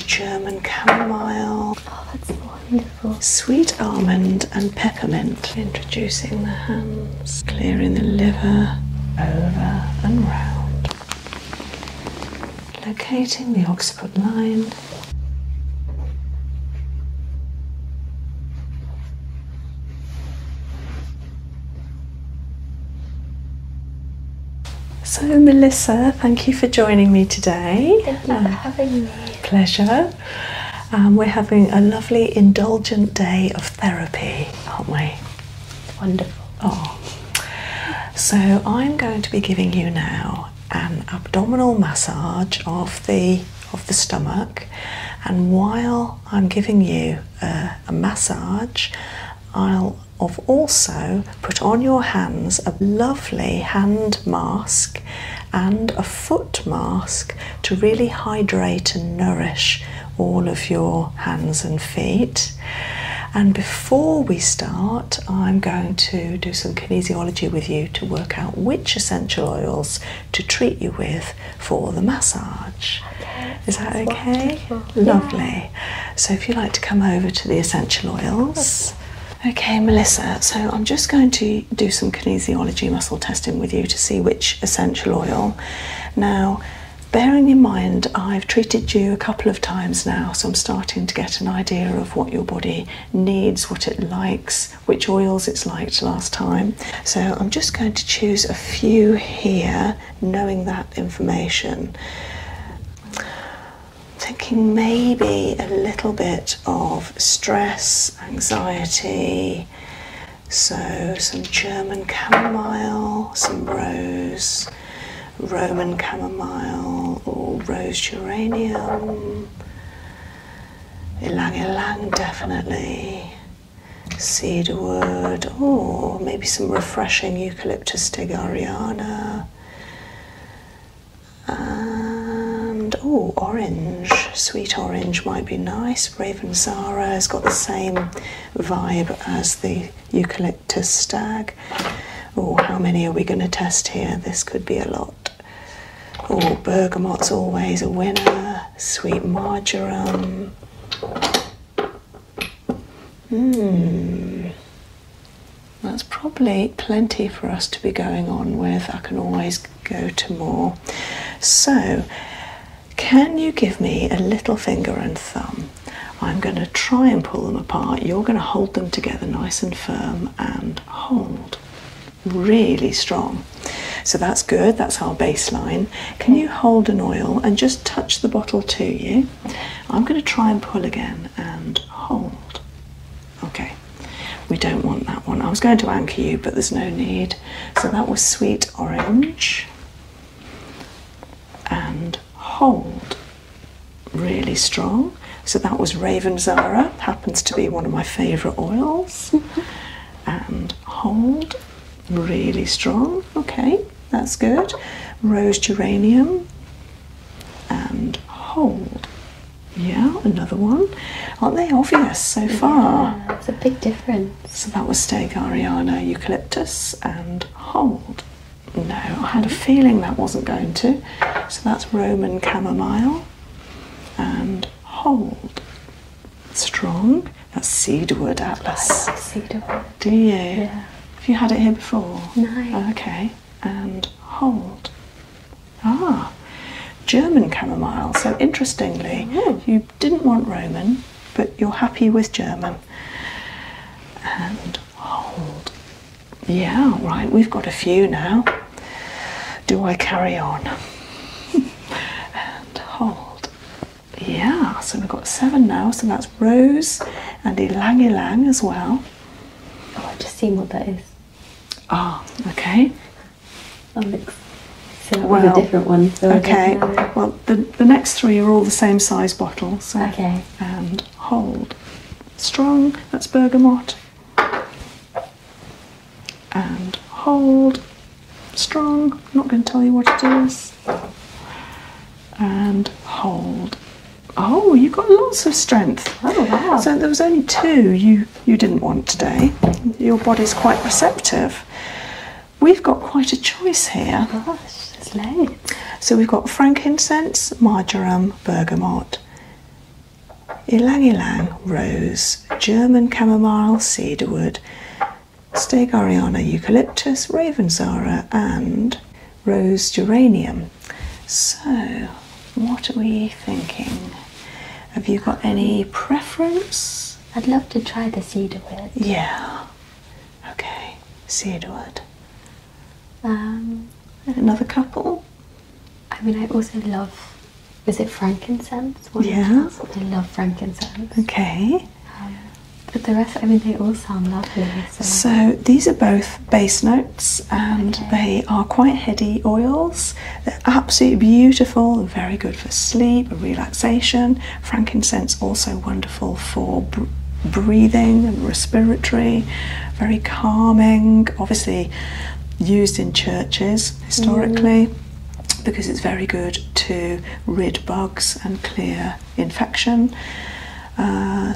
German chamomile. Oh, that's wonderful. Sweet almond and peppermint. Introducing the hands, clearing the liver over and round. Locating the occiput line. So, Melissa, thank you for joining me today. Thank you um, Pleasure. Um, we're having a lovely, indulgent day of therapy, aren't we? Wonderful. Oh. So, I'm going to be giving you now an abdominal massage of the of the stomach, and while I'm giving you uh, a massage, I'll of also put on your hands a lovely hand mask and a foot mask to really hydrate and nourish all of your hands and feet. And before we start, I'm going to do some kinesiology with you to work out which essential oils to treat you with for the massage. Okay. Is that okay? Lovely. So if you like to come over to the essential oils. Okay, Melissa, so I'm just going to do some kinesiology muscle testing with you to see which essential oil. Now, bearing in mind, I've treated you a couple of times now, so I'm starting to get an idea of what your body needs, what it likes, which oils it's liked last time. So I'm just going to choose a few here, knowing that information thinking maybe a little bit of stress, anxiety. So, some German chamomile, some rose, Roman chamomile, or rose geranium, ylang ylang, definitely, cedarwood, or maybe some refreshing eucalyptus tigariana. And oh, orange, sweet orange might be nice. Raven Zara has got the same vibe as the eucalyptus stag. Oh, how many are we going to test here? This could be a lot. Oh, bergamot's always a winner. Sweet marjoram. Hmm. That's probably plenty for us to be going on with. I can always go to more. So, can you give me a little finger and thumb? I'm going to try and pull them apart. You're going to hold them together nice and firm and hold really strong. So that's good, that's our baseline. Can you hold an oil and just touch the bottle to you? I'm going to try and pull again and hold. Okay, we don't want that one. I was going to anchor you, but there's no need. So that was sweet orange and hold. Really strong. So that was Raven Zara, happens to be one of my favourite oils. and hold, really strong. Okay, that's good. Rose geranium and hold, yeah, another one. Aren't they obvious so far? Yeah, it's a big difference. So that was Steg Ariana, Eucalyptus, and Hold. No, I had a feeling that wasn't going to. So that's Roman Chamomile and Hold. Strong. That's Cedarwood Atlas. I Cedarwood. Do you? Yeah. Have you had it here before? No. Okay and hold. Ah, German chamomile. So interestingly, mm. you didn't want Roman, but you're happy with German. And hold. Yeah, right, we've got a few now. Do I carry on? and hold. Yeah, so we've got seven now. So that's Rose and Ilang Ilang as well. Oh, I've just seen what that is. Oh, okay. I'll mix. well, different one. okay. Well, the, the next three are all the same size bottle. okay. And hold. Strong. That's bergamot. And hold. Strong. Not going to tell you what it is. And hold. Oh, you have got lots of strength. Oh wow! So there was only two you you didn't want today. Your body's quite receptive. We've got quite a choice here. Oh gosh, there's loads. So we've got frankincense, marjoram, bergamot, ylang ylang, rose, German chamomile, cedarwood, Stegaria, eucalyptus, ravensara, and rose geranium. So, what are we thinking? Have you got any preference? I'd love to try the cedar Yeah. Okay, cedar wood. Um, Another couple? I mean, I also love. Is it frankincense? yeah. I love frankincense. Okay. Um, but the rest, I mean, they all sound lovely. So. these are both base notes and they are quite heady oils. They're absolutely beautiful very good for sleep, relaxation. Frankincense also wonderful for breathing and respiratory, very calming. Obviously used in churches historically. Mm. Because it's very good to rid bugs and clear infection. Uh,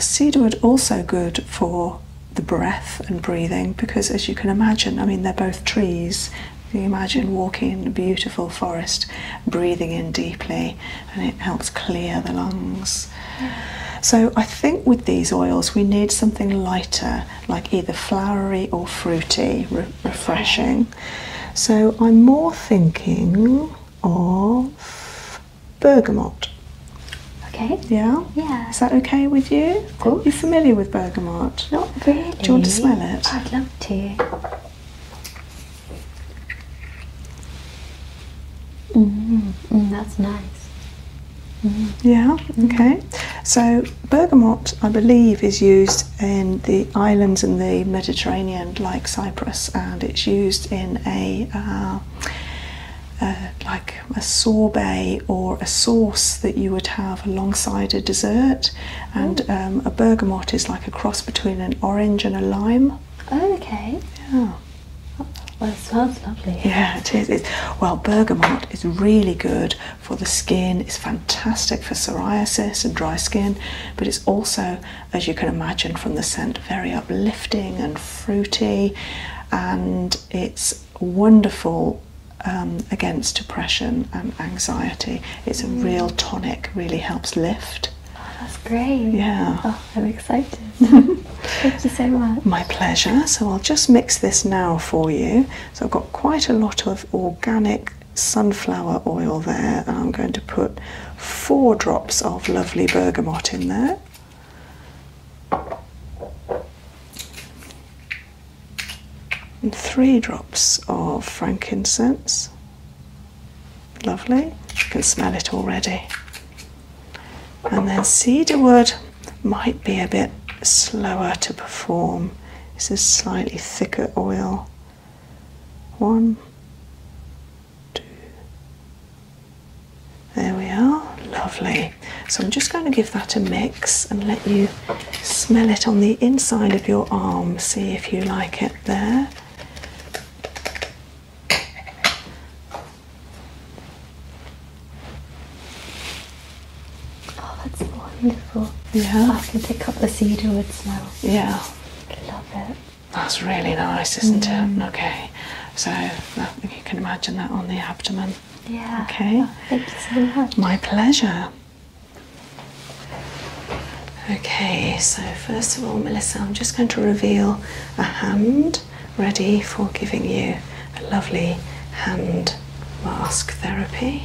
also good for the breath and breathing because as you can imagine i mean they're both trees you imagine walking in a beautiful forest breathing in deeply and it helps clear the lungs so i think with these oils we need something lighter like either flowery or fruity refreshing so i'm more thinking of bergamot Okay. Yeah? Yeah. Is that okay with you? Of course. You're familiar with bergamot? Not really. Do you want to smell it? I'd love to. Mm-hmm. Mm, that's nice. Mm-hmm. Yeah, mm-hmm. okay. So, bergamot, I believe, is used in the islands in the Mediterranean, like Cyprus, and it's used in a uh, uh, like a sorbet or a sauce that you would have alongside a dessert, and mm. um, a bergamot is like a cross between an orange and a lime. Oh, okay. Yeah. Well, it smells lovely. Yeah, It's, well, bergamot is really good for the skin. It's fantastic for psoriasis and dry skin, but it's also, as you can imagine from the scent, very uplifting and fruity, and it's wonderful um, against depression and anxiety. It's a real mm. tonic, really helps lift. that's great. Yeah. Oh, I'm excited. Thank you so much. My pleasure. So I'll just mix this now for you. So I've got quite a lot of organic sunflower oil there, and I'm going to put four drops of lovely bergamot in there and three drops of frankincense. Lovely, you can smell it already. And then cedarwood might be a bit slower to perform. This is slightly thicker oil. One, two, there we are, lovely so I'm just going to give that a mix and let you smell it on the inside of your arm, see if you like it there. Oh, that's wonderful. Yeah. I can pick up the cedarwood smell. Yeah. Love it. That's really nice, isn't it? Mm. Okay, so you can imagine that on the abdomen. Yeah. Okay. Oh, thank you so much. My pleasure. Okay, so first of all, Melissa, I'm just going to reveal a hand ready for giving you a lovely hand mask therapy.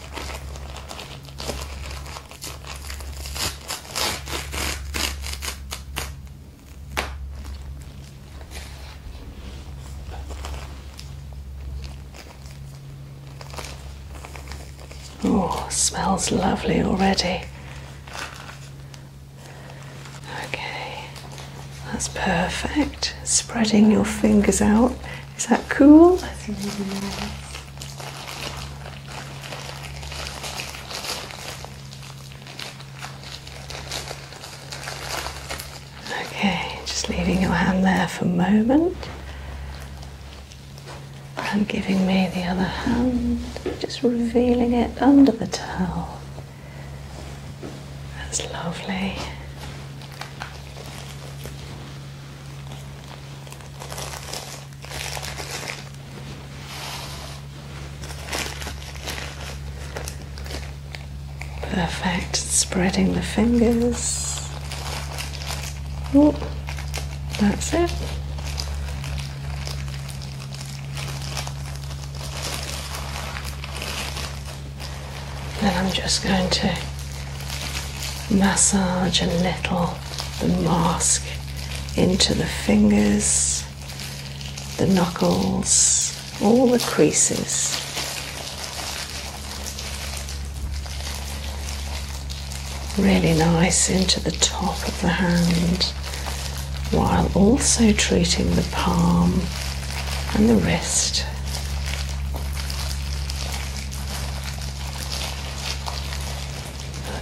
Oh, smells lovely already. Okay, that's perfect. Spreading your fingers out is that cool? Okay, just leaving your hand there for a moment and giving me the other hand, just revealing it under the towel. That's lovely. Perfect, spreading the fingers. Oh, that's it. Then I'm just going to massage a little the mask into the fingers, the knuckles, all the creases. Really nice into the top of the hand while also treating the palm and the wrist.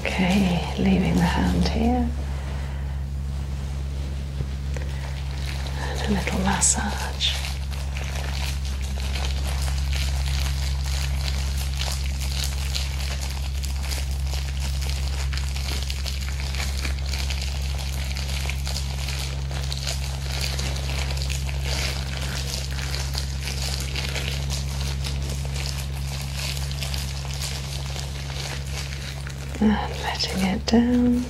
Okay, leaving the hand here. And a little massage and letting it down.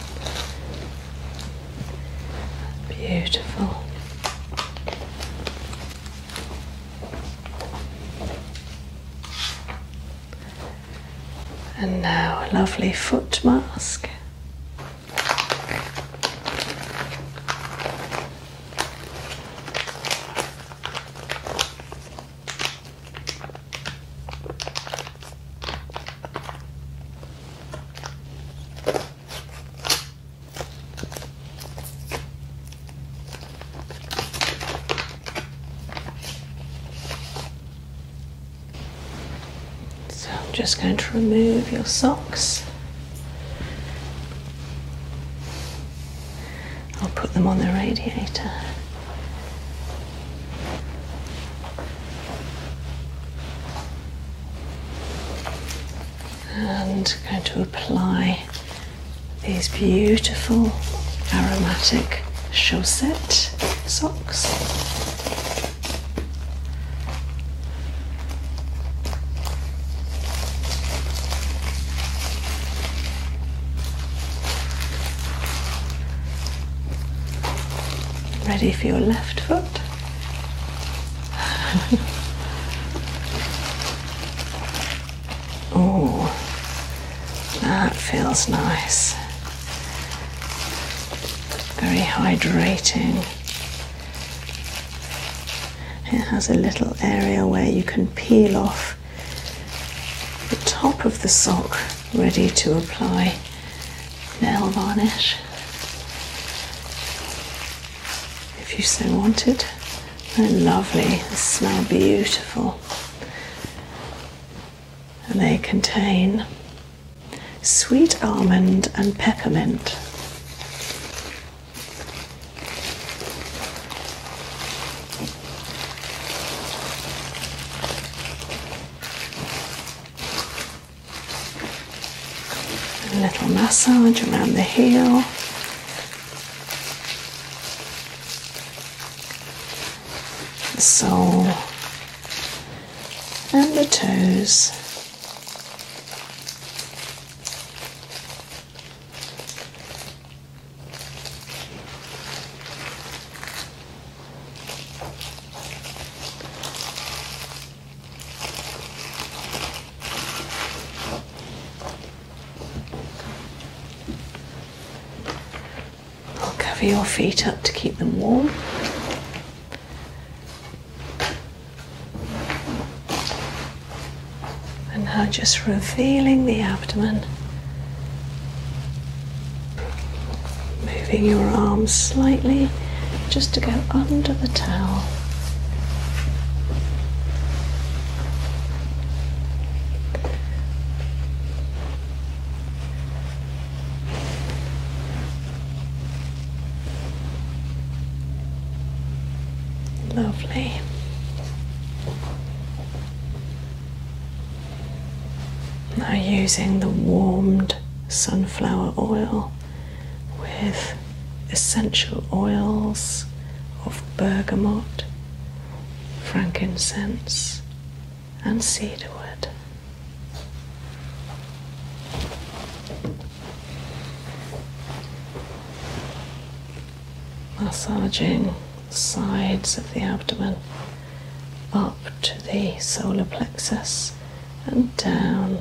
Beautiful. And now a lovely foot mask so I'm just going to remove your socks I'll put them on the radiator. And I'm going to apply these beautiful aromatic chaussette socks Ready for your left foot. oh, that feels nice. Very hydrating. It has a little area where you can peel off the top of the sock, ready to apply nail varnish if you so wanted. They're lovely, they smell beautiful, and they contain sweet almond and peppermint. A little massage around the heel. The sole and the toes. I'll cover your feet up to keep them warm. And now just revealing the abdomen. Moving your arms slightly just to go under the towel. Lovely. Now, using the warmed sunflower oil with essential oils of bergamot, frankincense, and cedarwood massaging the sides of the abdomen up to the solar plexus and down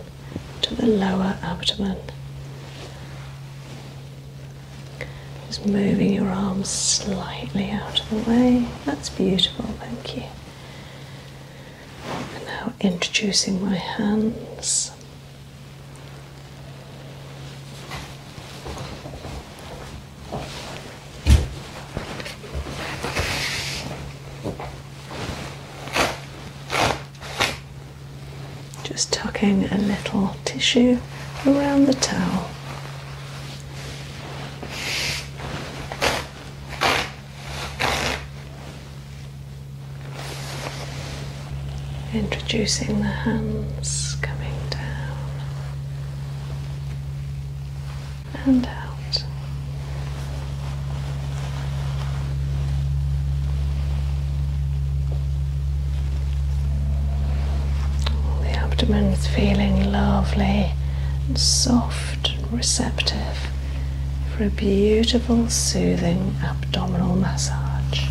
to the lower abdomen. Just moving your arms slightly out of the way. That's beautiful, thank you. now introducing my hands just tucking a little tissue around the towel. Introducing the hands coming down and out. the abdomen is feeling lovely and soft and receptive for a beautiful, soothing abdominal massage.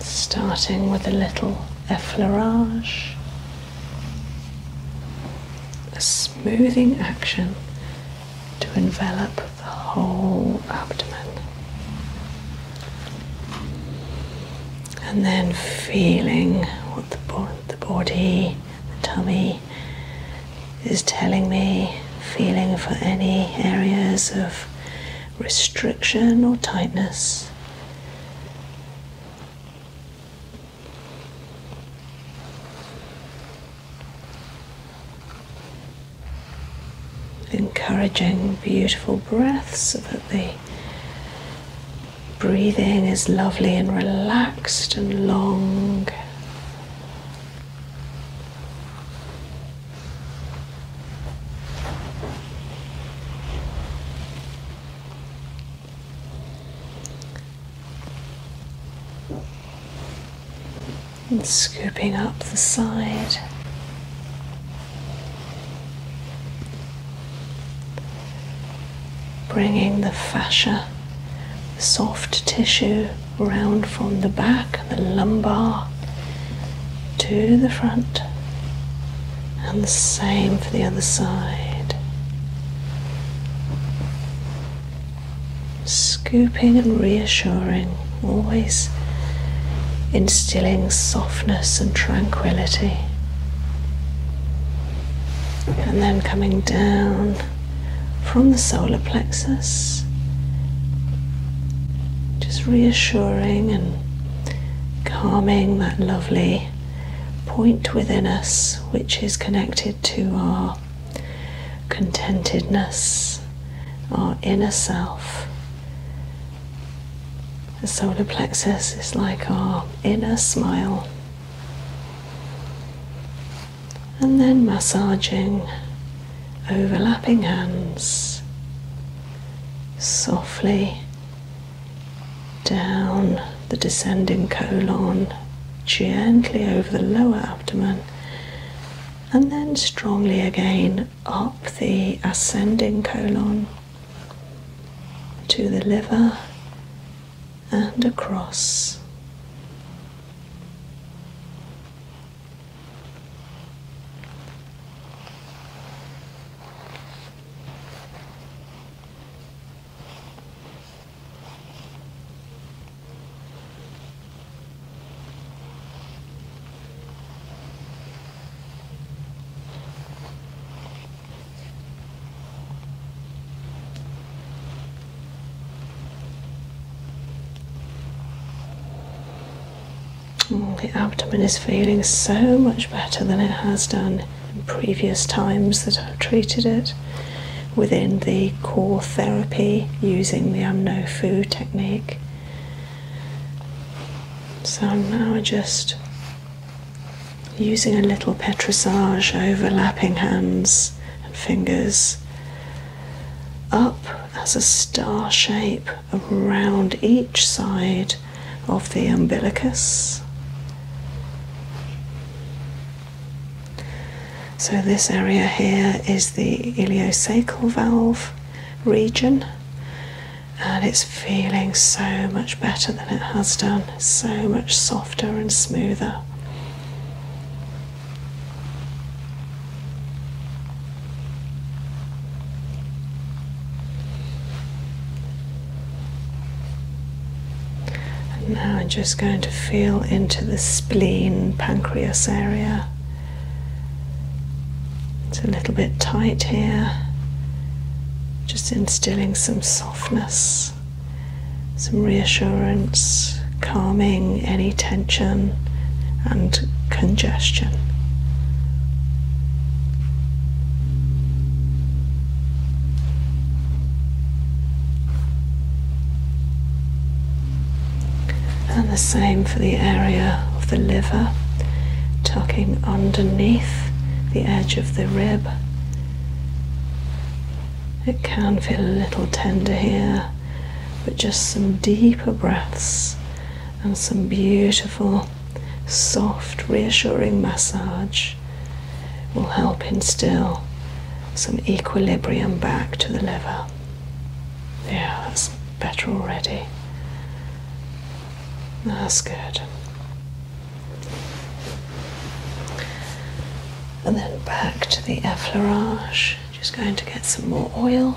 Starting with a little effleurage, a smoothing action to envelop the whole abdomen. And then feeling what the, the body, the tummy is telling me, feeling for any areas of restriction or tightness. Encouraging beautiful breaths so that the breathing is lovely and relaxed and long and scooping up the side. Bringing the fascia, the soft tissue, round from the back, the lumbar, to the front, and the same for the other side scooping and reassuring, always instilling softness and tranquility. And then coming down from the solar plexus, just reassuring and calming that lovely point within us which is connected to our contentedness, our inner self. The solar plexus is like our inner smile. And then massaging overlapping hands softly down the descending colon, gently over the lower abdomen and then strongly again up the ascending colon to the liver and across the abdomen is feeling so much better than it has done in previous times that I've treated it within the core therapy using the I'm technique. So I'm now just using a little petrissage overlapping hands and fingers up as a star shape around each side of the umbilicus. So, this area here is the iliocecal valve region, and it's feeling so much better than it has done, so much softer and smoother. And now I'm just going to feel into the spleen pancreas area. It's a little bit tight here, just instilling some softness, some reassurance, calming any tension and congestion. And the same for the area of the liver, tucking underneath the edge of the rib. It can feel a little tender here, but just some deeper breaths and some beautiful, soft, reassuring massage will help instill some equilibrium back to the liver. Yeah, that's better already. That's good. And then back to the effleurage. Just going to get some more oil.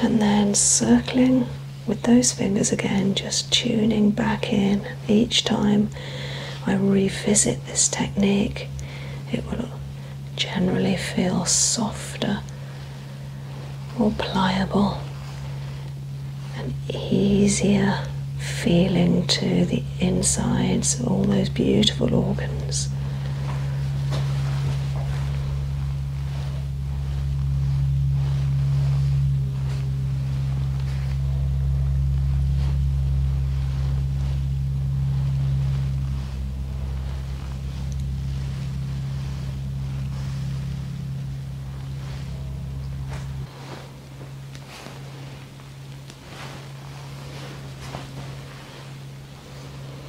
And then circling with those fingers again, just tuning back in each time I revisit this technique, it will generally feel softer, more pliable, and easier feeling to the insides, of all those beautiful organs.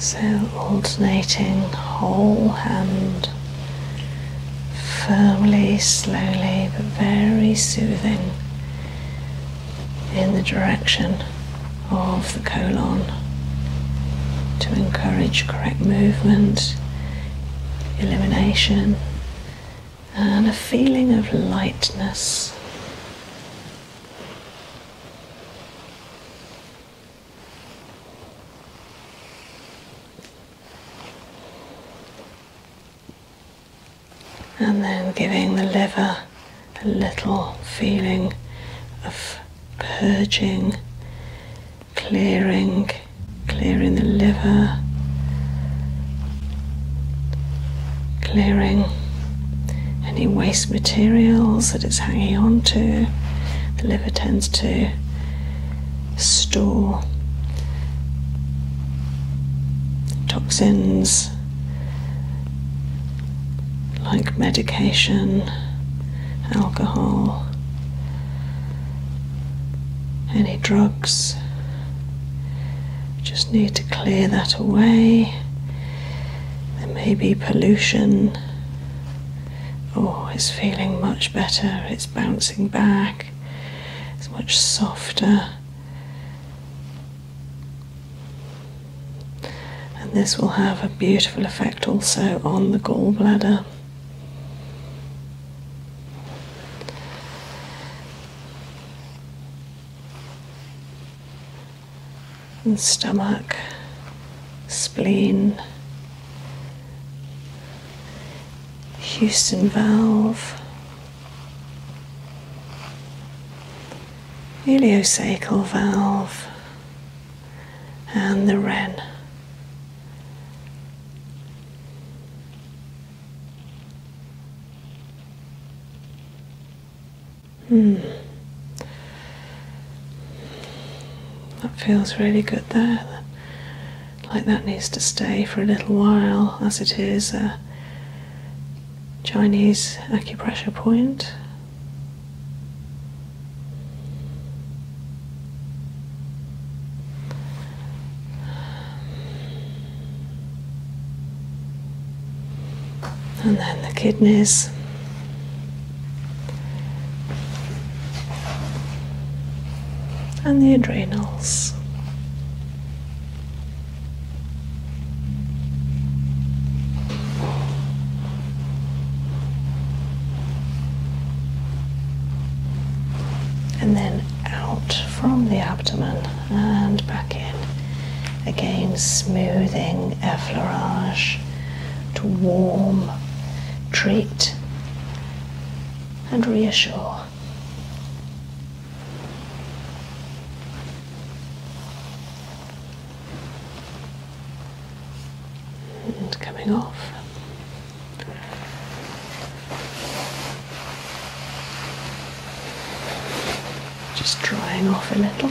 So, alternating whole hand firmly, slowly, but very soothing in the direction of the colon to encourage correct movement, elimination, and a feeling of lightness. And then giving the liver a little feeling of purging, clearing, clearing the liver, clearing any waste materials that it's hanging on to. The liver tends to store toxins like medication, alcohol, any drugs. Just need to clear that away. There may be pollution Oh, it's feeling much better, it's bouncing back, it's much softer. And this will have a beautiful effect also on the gallbladder and stomach, spleen, Houston valve, ileocecal valve, and the ren. Hmm. That feels really good there. Like that needs to stay for a little while, as it is a Chinese acupressure point. And then the kidneys and the adrenals. And then out from the abdomen and back in. Again, smoothing effleurage to warm, treat, and reassure. And coming off. Just drying off a little.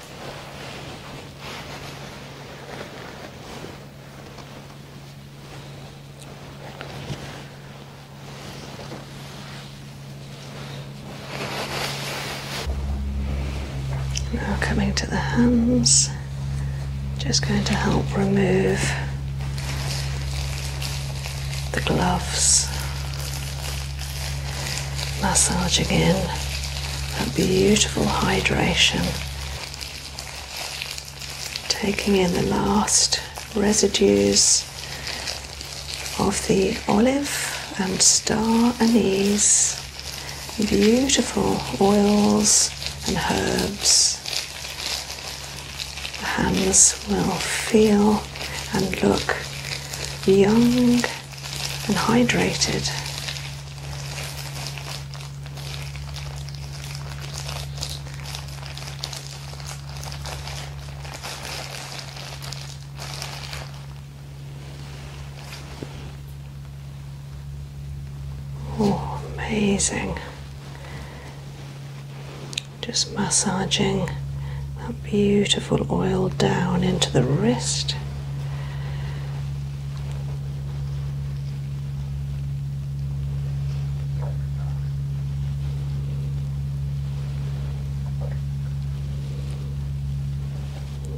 Now coming to the hands, just going to help remove the gloves, massaging in that beautiful hydration Taking in the last residues of the olive and star anise, beautiful oils and herbs. The hands will feel and look young and hydrated. Oh, amazing. Just massaging that beautiful oil down into the wrist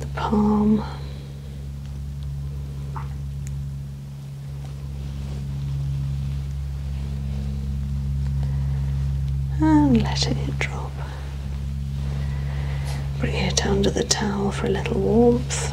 the palm. And let it drop. Bring it under the towel for a little warmth.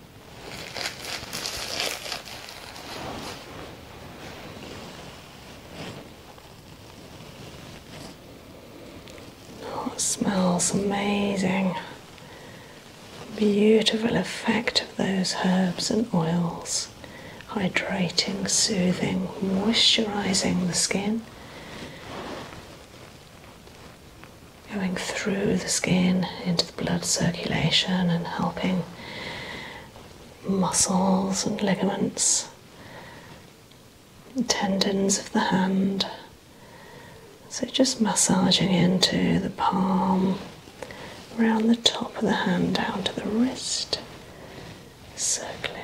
That oh, smells amazing. Beautiful effect of those herbs and oils, hydrating, soothing, moisturizing the skin, going through the skin into the blood circulation and helping muscles and ligaments, tendons of the hand. So just massaging into the palm, around the top of the hand down to the wrist, circling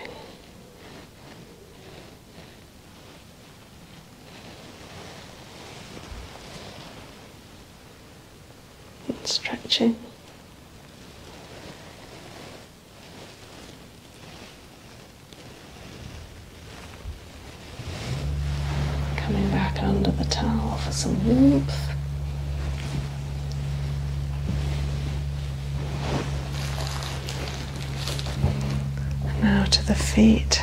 and stretching. Coming back under the towel for some warmth. now to the feet.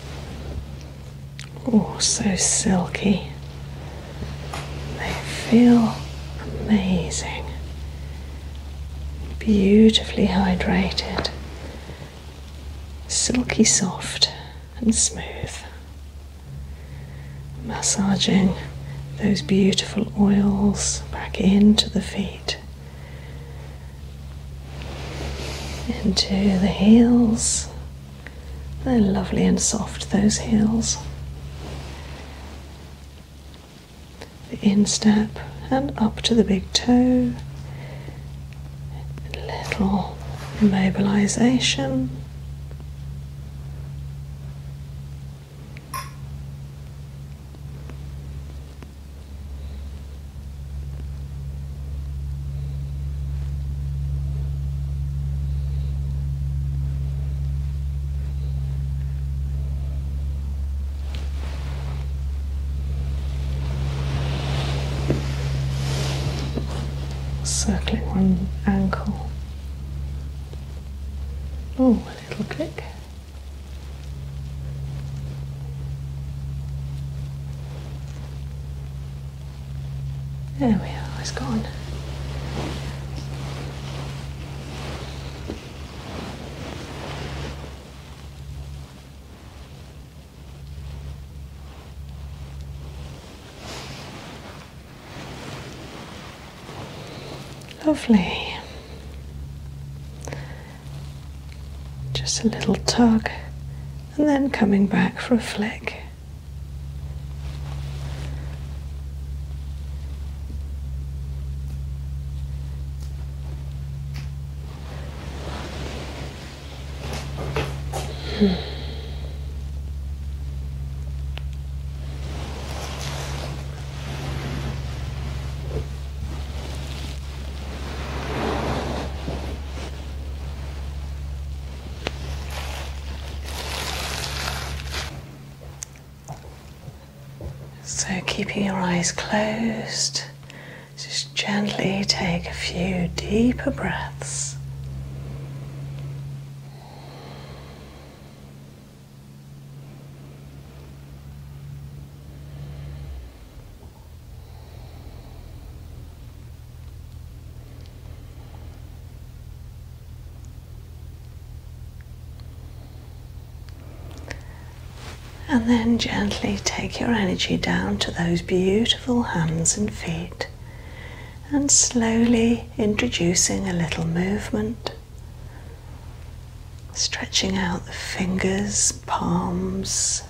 Oh, so silky. They feel amazing. Beautifully hydrated, silky soft and smooth. Massaging those beautiful oils back into the feet into the heels. They're lovely and soft, those heels. The instep and up to the big toe. A little mobilization circling one ankle. Oh, a little click. There we are, it's gone. Lovely. Just a little tug and then coming back for a flick. Hmm. So, keeping your eyes closed, just gently take a few deeper breaths. And then gently take your energy down to those beautiful hands and feet, and slowly introducing a little movement, stretching out the fingers, palms,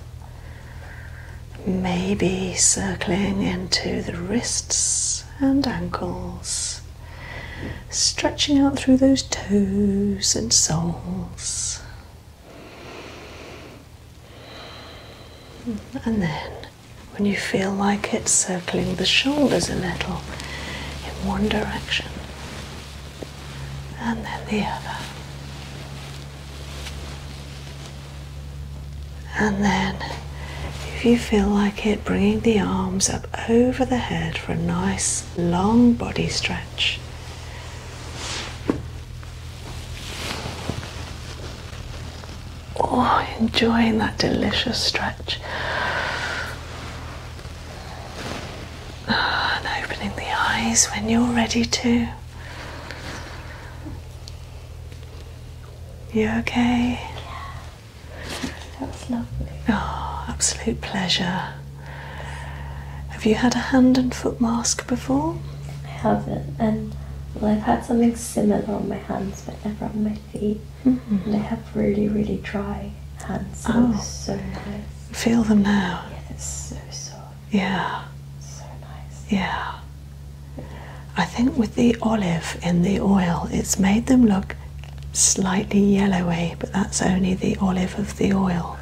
Maybe circling into the wrists and ankles, stretching out through those toes and soles. And then, when you feel like it, circling the shoulders a little in one direction and then the other, and then, if you feel like it, bringing the arms up over the head for a nice long body stretch. Oh, enjoying that delicious stretch. And opening the eyes when you're ready to. You okay? Yeah. That was lovely. Oh, absolute pleasure. Have you had a hand and foot mask before? I haven't, and I've had something similar on my hands, but never on my feet. Mm-hmm. And I have really, really dry hands. oh, so nice. Feel them now. Yeah, it's so soft. Yeah. So nice. Yeah. I think with the olive in the oil, it's made them look slightly yellowy, but that's only the olive of the oil.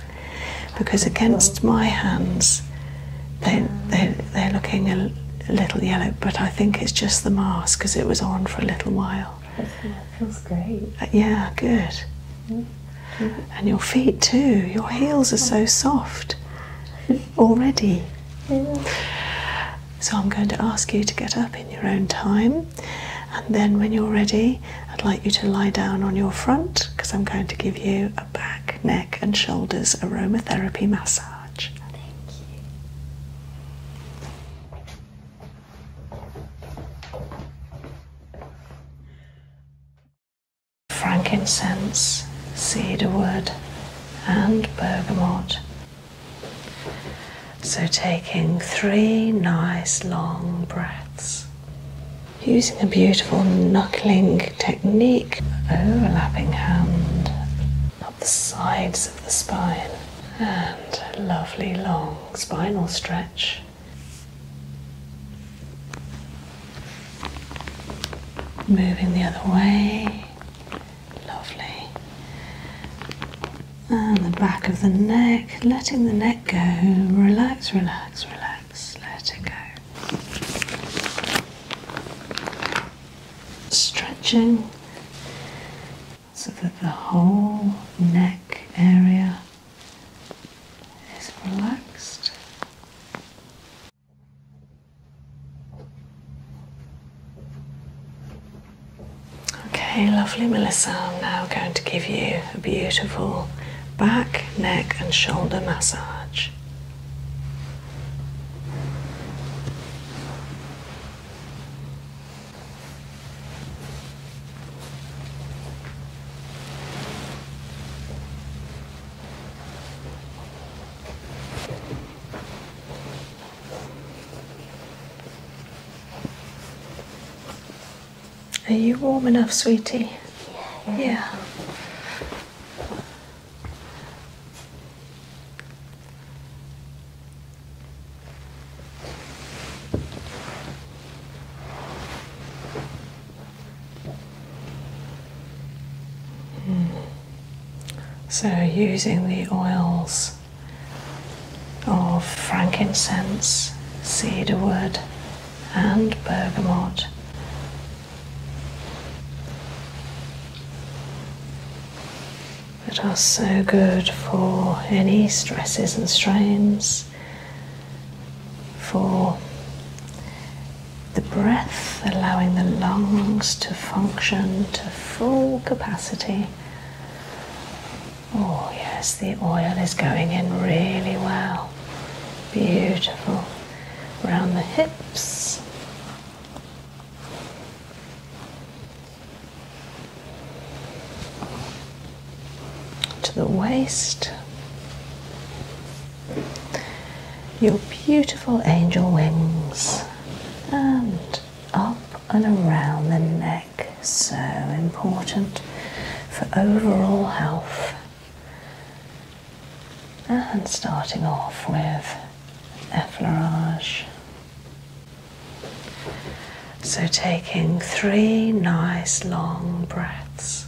Because against my hands, they, they, they're looking a, little yellow, but I think it's just the mask because it was on for a little while. That feels great. Uh, yeah, good. Mm-hmm. And your feet too, your heels are so soft. already. So I'm going to ask you to get up in your own time, and then when you're ready, I'd like you to lie down on your front because I'm going to give you a back, neck, and shoulders aromatherapy massage. Thank you frankincense, cedarwood, and bergamot. So, taking three nice long breaths. Using a beautiful knuckling technique, overlapping hand up the sides of the spine, and lovely long spinal stretch. Moving the other way. Lovely. And the back of the neck, letting the neck go. Relax, relax, relax. Let it go. Stretching so that the whole neck area is relaxed. Okay, lovely Melissa. I'm now going to give you a beautiful back, neck, and shoulder massage. Are you warm enough, sweetie? Yeah. yeah. So, using the oils of frankincense, cedarwood, and bergamot. That are so good for any stresses and strains, for the breath, allowing the lungs to function to full capacity. Oh, yes, the oil is going in really well. Beautiful. Round the hips. To the waist, your beautiful angel wings and up and around the neck. So important for overall health. And starting off with effleurage. So, taking three nice long breaths.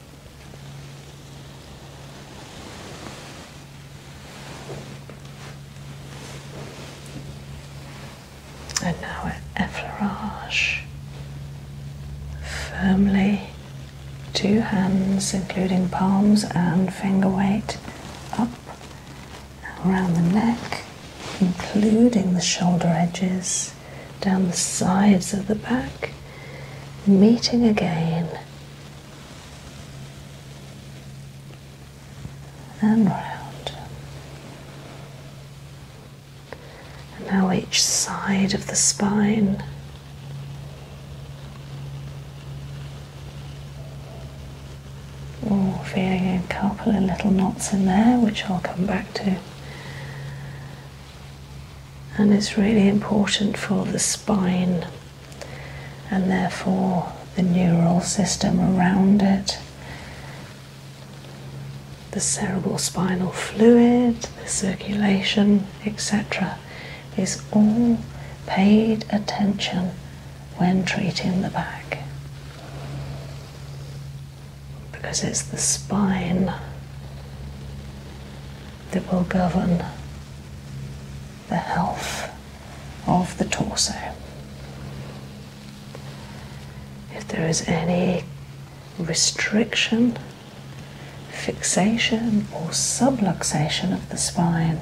And now at effleurage, firmly, two hands, including palms and finger weight, up around the neck, including the shoulder edges, down the sides of the back, meeting again and round. now each side of the spine. Oh, feeling a couple of little knots in there, which I'll come back to. And it's really important for the spine and therefore the neural system around it, the cerebral spinal fluid, the circulation, etc., is all paid attention when treating the back because it's the spine that will govern the health of the torso. If there is any restriction, fixation, or subluxation of the spine,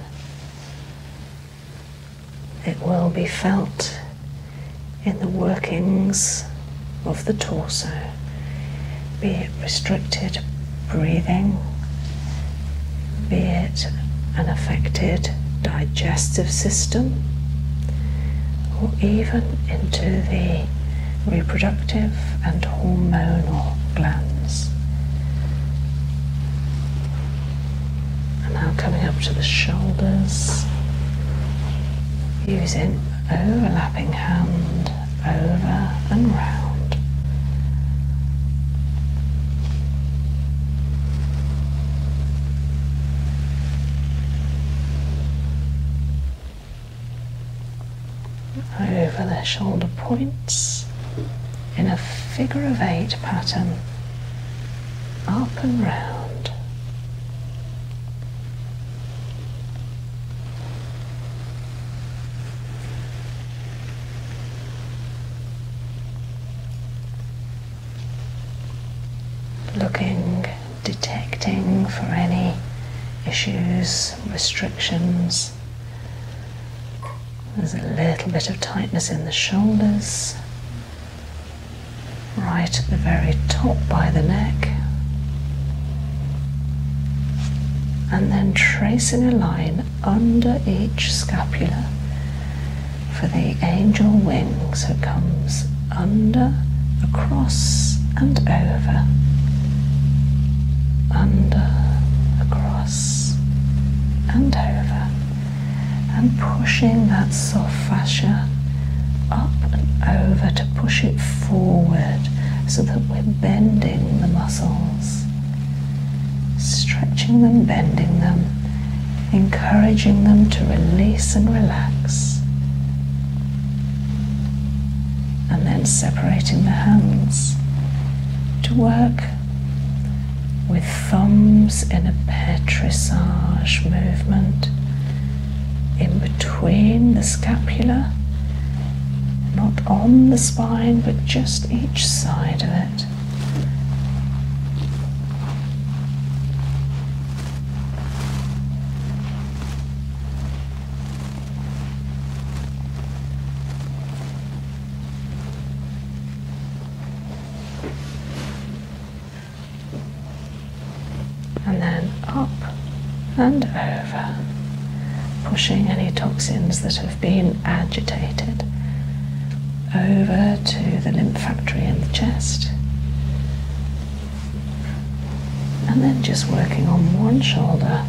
it will be felt in the workings of the torso be it restricted breathing, be it an affected digestive system, or even into the reproductive and hormonal glands. And now coming up to the shoulders, using overlapping oh, hand over and round. Over their shoulder points in a figure of eight pattern, up and round. Looking, detecting for any issues, restrictions. There's a little bit of tightness in the shoulders, right at the very top by the neck. And then tracing a line under each scapula for the angel wings, so it comes under, across, and over. Under, across, and over. And pushing that soft fascia up and over to push it forward so that we're bending the muscles stretching them, bending them, encouraging them to release and relax. And then separating the hands to work with thumbs in a petrissage movement in between the scapula not on the spine but just each side of it. And then up and over pushing any toxins that have been agitated over to the lymph factory in the chest. And then just working on one shoulder,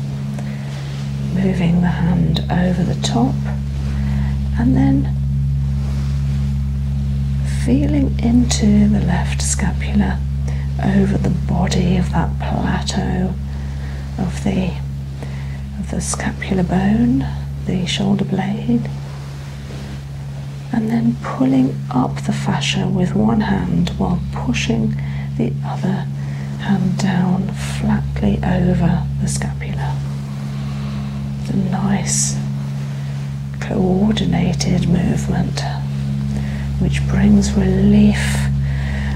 moving the hand over the top, and then feeling into the left scapula over the body of that plateau of the of the scapular bone, the shoulder blade, and then pulling up the fascia with one hand while pushing the other hand down flatly over the scapula. It's a nice coordinated movement which brings relief,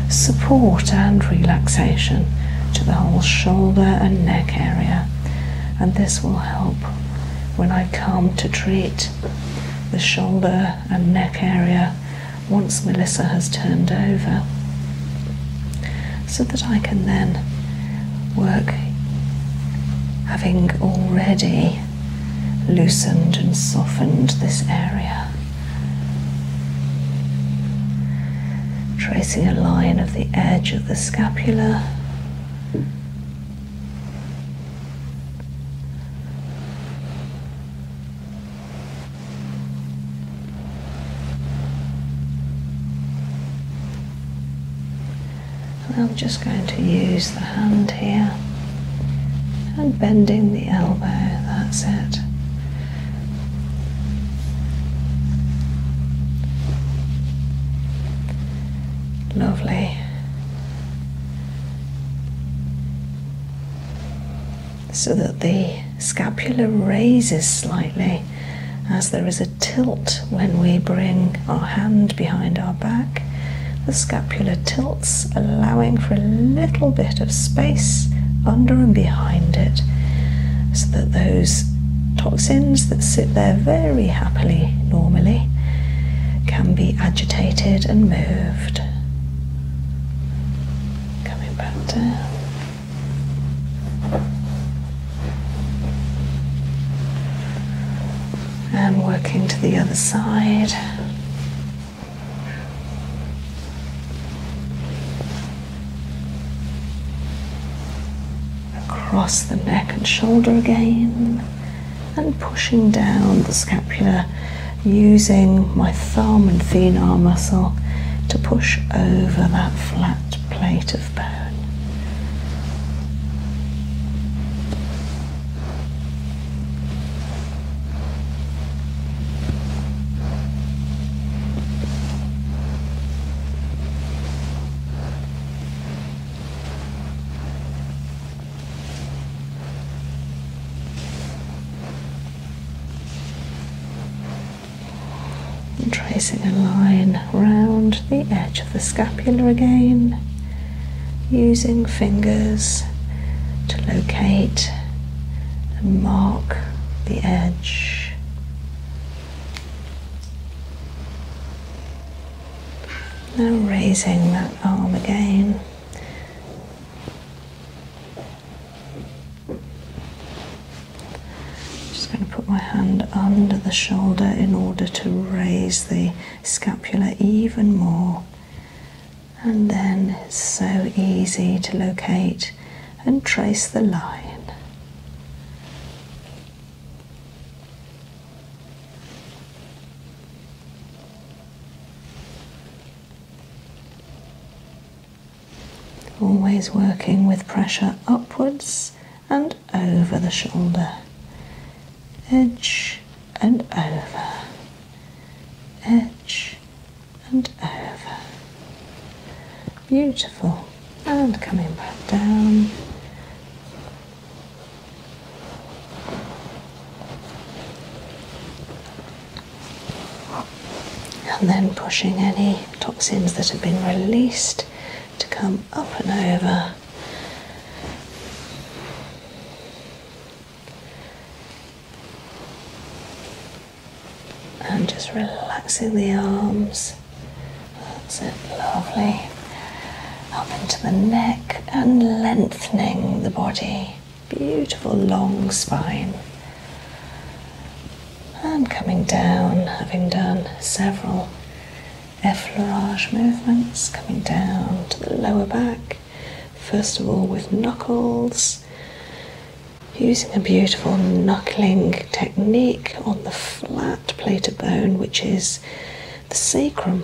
support, and relaxation to the whole shoulder and neck area and this will help when I come to treat the shoulder and neck area once Melissa has turned over so that I can then work having already loosened and softened this area tracing a line of the edge of the scapula. I'm just going to use the hand here and bending the elbow, that's it. Lovely. So that the scapula raises slightly as there is a tilt when we bring our hand behind our back. The scapula tilts, allowing for a little bit of space under and behind it so that those toxins that sit there very happily normally can be agitated and moved. Coming back down. And working to the other side across the neck and shoulder again, and pushing down the scapula using my thumb and thenar muscle to push over that flat plate of bone tracing a line round the edge of the scapula again, using fingers to locate and mark the edge. Now raising that arm again. Just going to put my hand under the shoulder in order to raise the scapula even more. And then so easy to locate and trace the line. Always working with pressure upwards and over the shoulder, edge and over, edge and over, Beautiful. And coming back down. And then pushing any toxins that have been released to come up and over and just relaxing the arms. That's it, lovely. Up into the neck and lengthening the body. Beautiful long spine. And coming down, having done several effleurage movements, coming down to the lower back. First of all, with knuckles, using a beautiful knuckling technique on the flat plate of bone, which is the sacrum.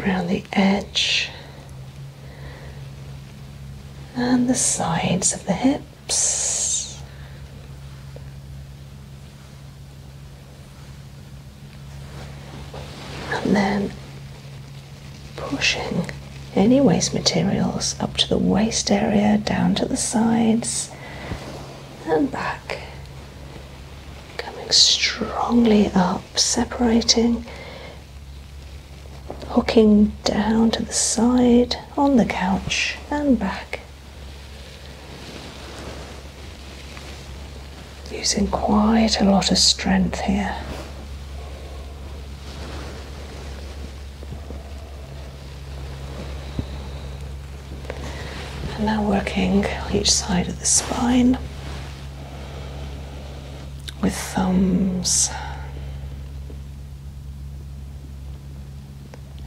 Around the edge and the sides of the hip. And then pushing any waste materials up to the waist area, down to the sides, and back. Coming strongly up, separating hooking down to the side on the couch and back. Using quite a lot of strength here. And now working each side of the spine with thumbs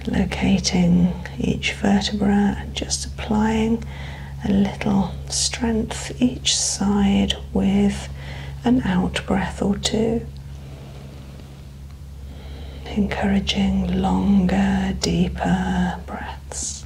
Locating each vertebra, just applying a little strength each side with an out breath or two. Encouraging longer, deeper breaths.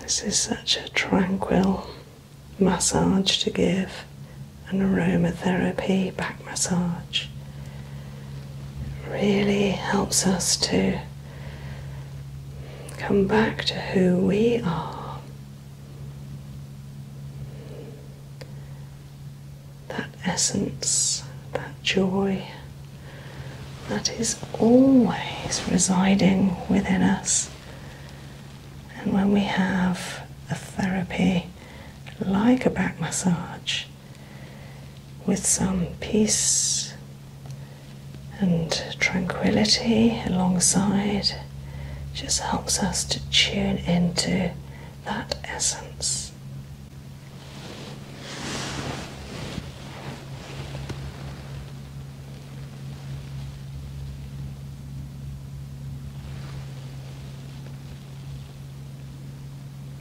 This is such a tranquil massage to give an aromatherapy back massage really helps us to come back to who we are. That essence, that joy that is always residing within us. And when we have a therapy like a back massage, with some peace and tranquility alongside just helps us to tune into that essence.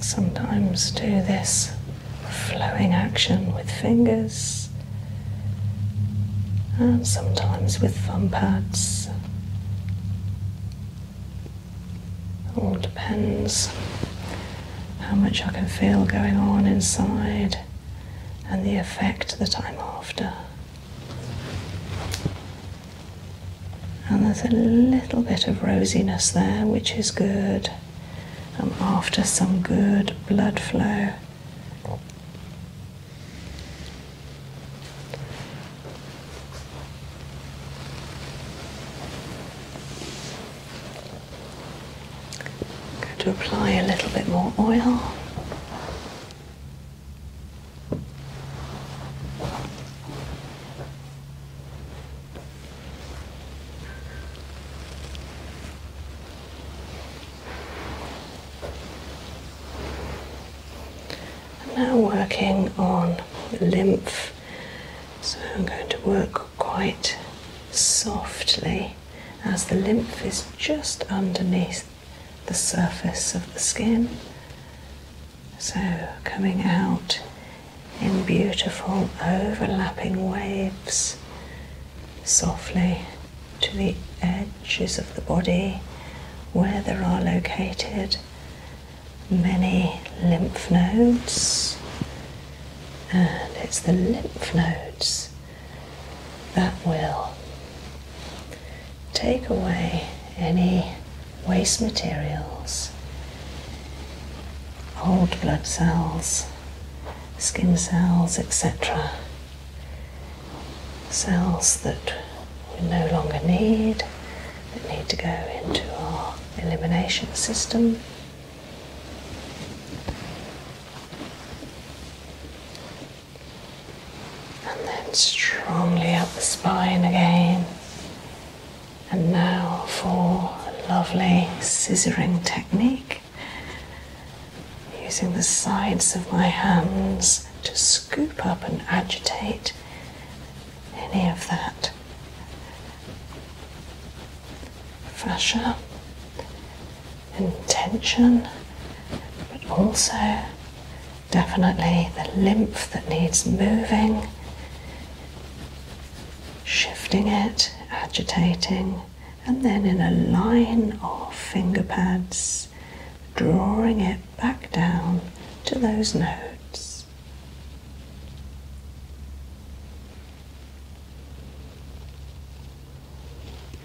Sometimes do this flowing action with fingers and sometimes with thumb pads. all depends how much I can feel going on inside and the effect that I'm after. And there's a little bit of rosiness there, which is good. I'm after some good blood flow. I'm going to apply a little bit more oil. I'm now working on lymph, so I'm going to work quite softly as the lymph is just underneath the surface of the skin. So, coming out in beautiful overlapping waves softly to the edges of the body where there are located many lymph nodes, and it's the lymph nodes that will take away any waste materials, old blood cells, skin cells, etc. Cells that we no longer need, that need to go into our elimination system and then strongly up the spine again. And now for a lovely scissoring technique using the sides of my hands to scoop up and agitate any of that fascia Intention, but also definitely the lymph that needs moving, shifting it, agitating, and then in a line of finger pads, drawing it back down to those nodes.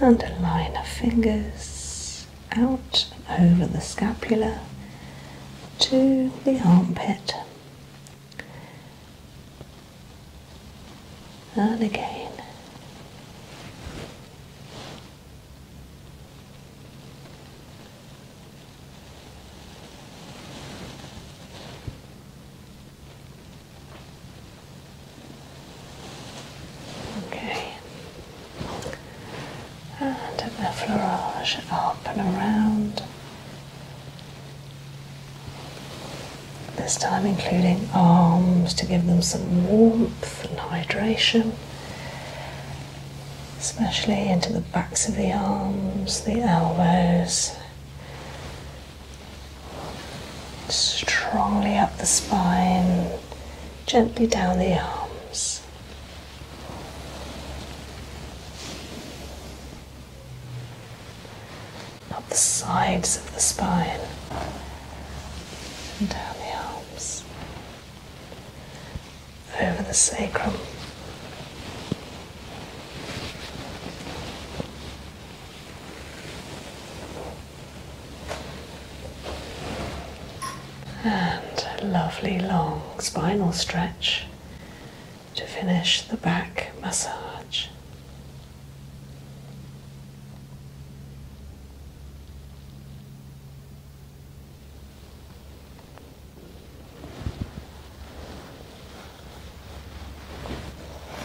and a line of fingers out and over the scapula to the armpit. And again. Okay. And the fleurage up and around. This time including arms to give them some warmth and hydration, especially into the backs of the arms, the elbows, strongly up the spine, gently down the arms. Up the sides of the spine down the arms, over the sacrum. And lovely long spinal stretch to finish the back massage.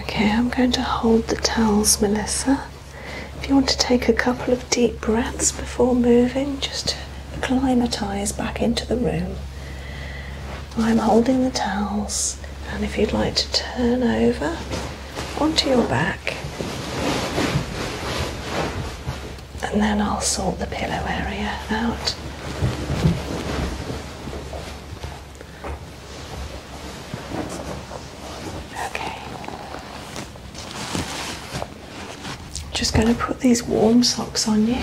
Okay, I'm going to hold the towels, Melissa. If you want to take a couple of deep breaths before moving, just to acclimatise back into the room. I'm holding the towels, and if you'd like to turn over onto your back, and then I'll sort the pillow area out. Okay. Just going to put these warm socks on you.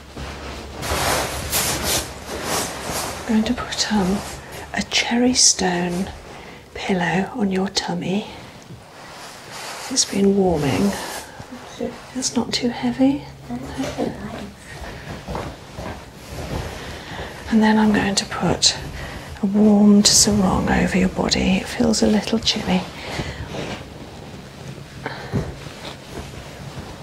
I'm going to put um, a cherry stone pillow on your tummy. It's been warming. It's not too heavy. And then I'm going to put a warm sarong over your body. It feels a little chilly.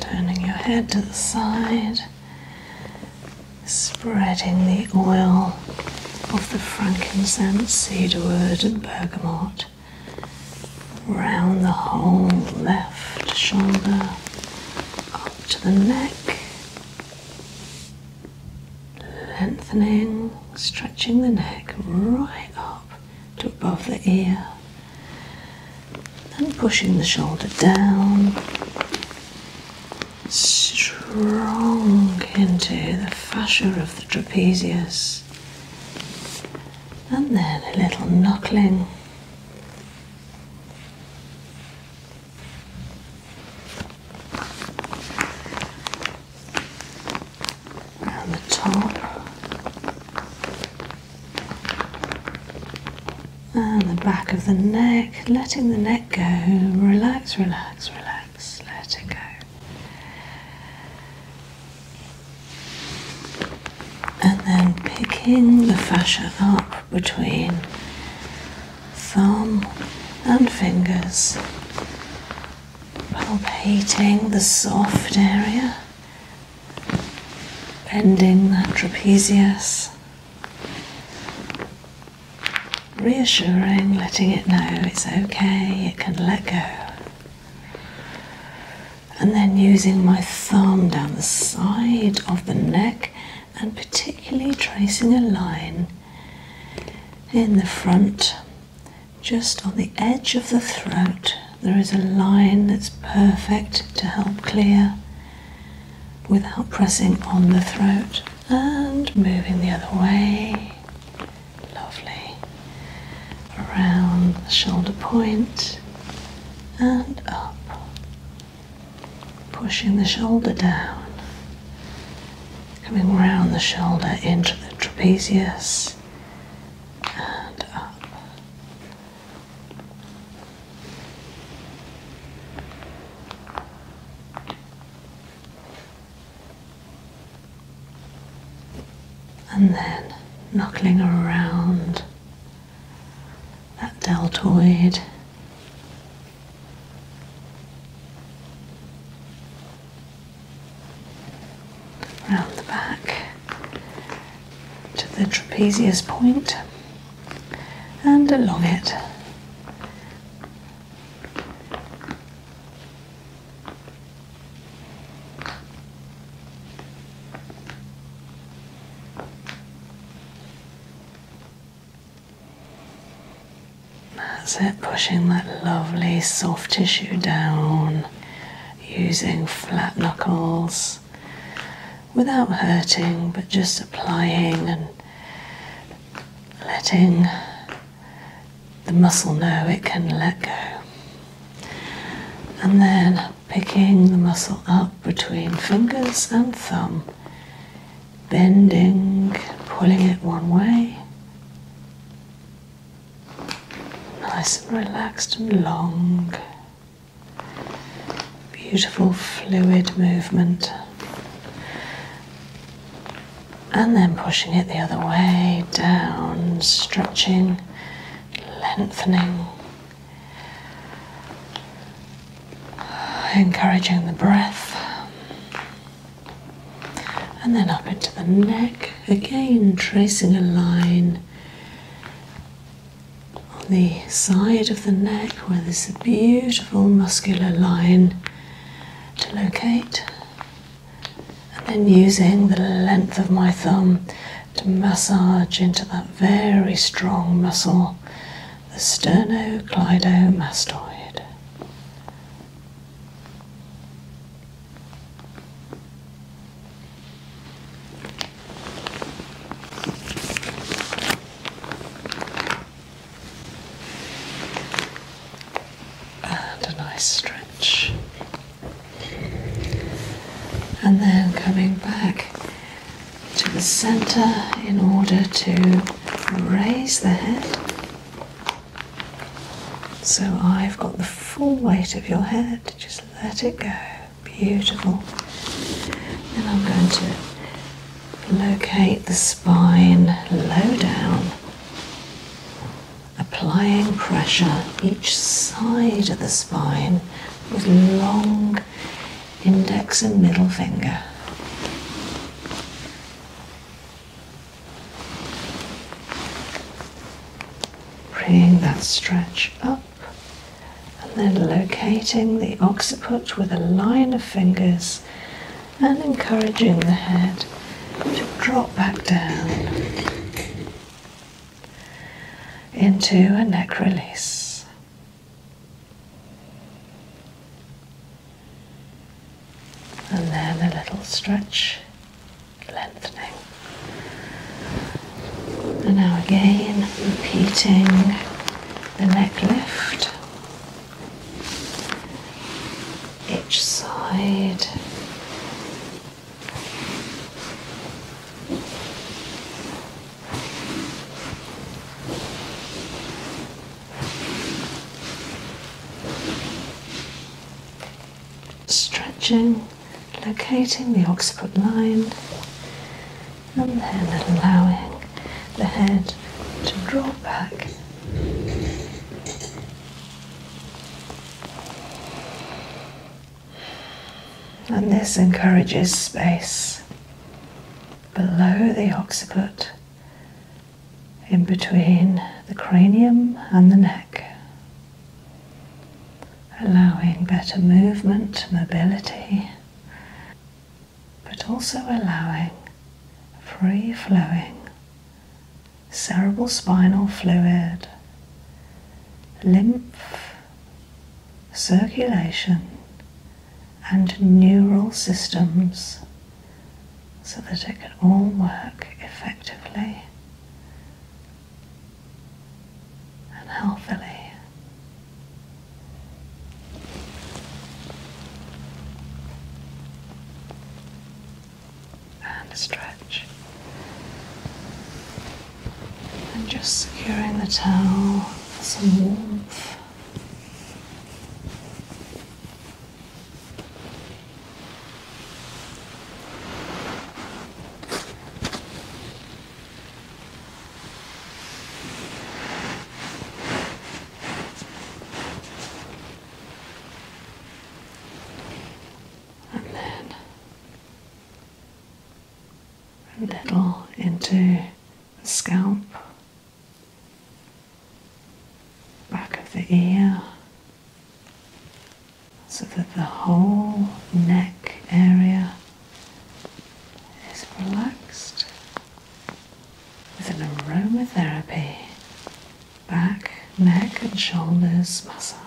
Turning your head to the side, spreading the oil of the frankincense, cedarwood, and bergamot around the whole left shoulder, up to the neck, Lengthening, stretching the neck right up to above the ear, then pushing the shoulder down. Strong into the fascia of the trapezius, and then a little knuckling. Around the top and the back of the neck, letting the neck go. Relax, relax, relax, let it go. And then picking the fascia up between thumb and fingers, palpating the soft area, bending that trapezius, reassuring, letting it know it's okay, it can let go. And then using my thumb down the side of the neck and particularly tracing a line in the front just on the edge of the throat. There is a line that's perfect to help clear without pressing on the throat and moving the other way. Lovely. Around the shoulder point and up pushing the shoulder down, coming round the shoulder into the trapezius and up. And then knuckling around that deltoid Round the back to the trapezius point and along it. That's it, pushing that lovely soft tissue down using flat knuckles without hurting, but just applying and letting the muscle know it can let go. And then picking the muscle up between fingers and thumb bending, pulling it one way. Nice and relaxed and long. Beautiful fluid movement. And then pushing it the other way, down, stretching, lengthening encouraging the breath. And then up into the neck, again tracing a line on the side of the neck where there's a beautiful muscular line to locate. And then using the length of my thumb to massage into that very strong muscle the sternocleidomastoid. And a nice stretch. And then coming back to the centre in order to raise the head so I've got the full weight of your head. Just let it go. Beautiful. Then I'm going to locate the spine low down, applying pressure each side of the spine with long index and middle finger. Bringing that stretch up and then locating the occiput with a line of fingers and encouraging the head to drop back down into a neck release and then a little stretch, lengthening, and now again repeating the neck lift each side. Stretching, locating the occiput line, and then allowing the head to draw back. And this encourages space below the occiput in between the cranium and the neck, allowing better movement, mobility, but also allowing free flowing cerebral spinal fluid, lymph, circulation, and neural systems so that it can all work effectively and healthily. And stretch. And just securing the towel for some warmth and then a little into the scalp back of the ear so that the whole neck area is relaxed with an aromatherapy back, neck and shoulders massage.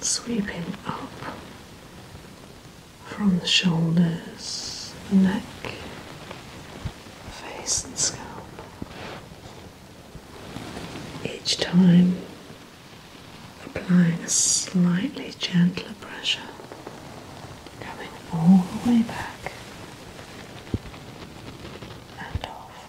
Sweeping up from the shoulders, neck, face and scalp. Each time applying a slightly gentler pressure, coming all the way back and off.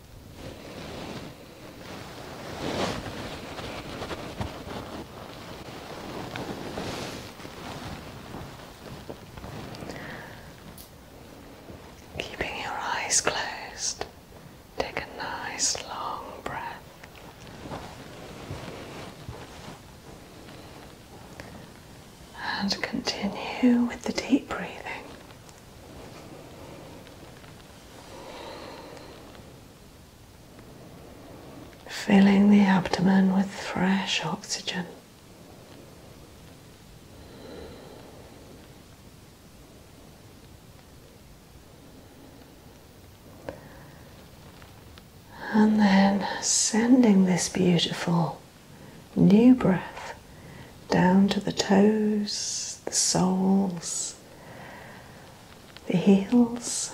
Keeping your eyes closed, take a nice long breath. And continue with the deep breathing filling the abdomen with fresh oxygen. And then sending this beautiful new breath down to the toes, the soles, the heels,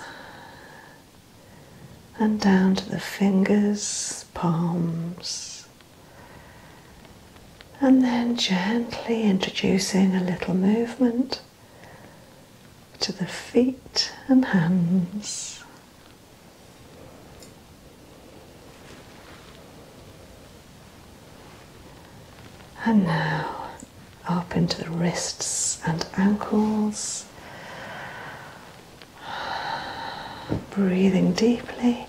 and down to the fingers, palms, and then gently introducing a little movement to the feet and hands. And now up into the wrists and ankles. Breathing deeply.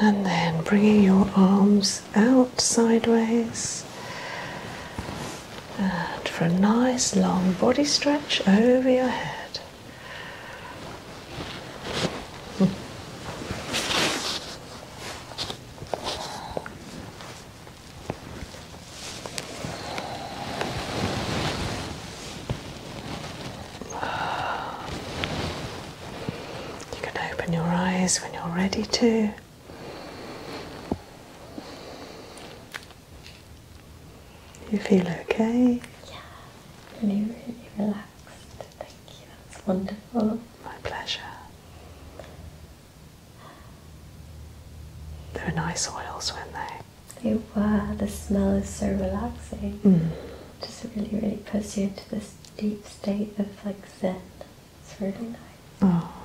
And then bringing your arms out sideways. And for a nice long body stretch over your head. You can open your eyes when you're ready to. You feel okay? Yeah, really, really relax? relaxed. Thank you. That's wonderful. My pleasure. They are nice oils, weren't they? They were. The smell is so relaxing. Mm. Just really, really puts you into this deep state of like zen. It's really nice. Oh.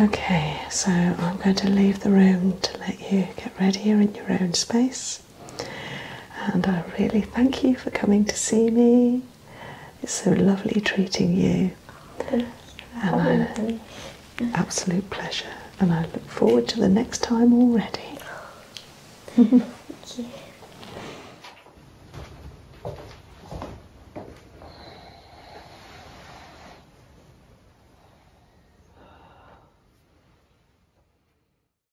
Okay, so I'm going to leave the room to let you get ready. you in your own space. And I really thank you for coming to see me. It's so lovely treating you. And absolute pleasure. And I look forward to the next time already. thank you.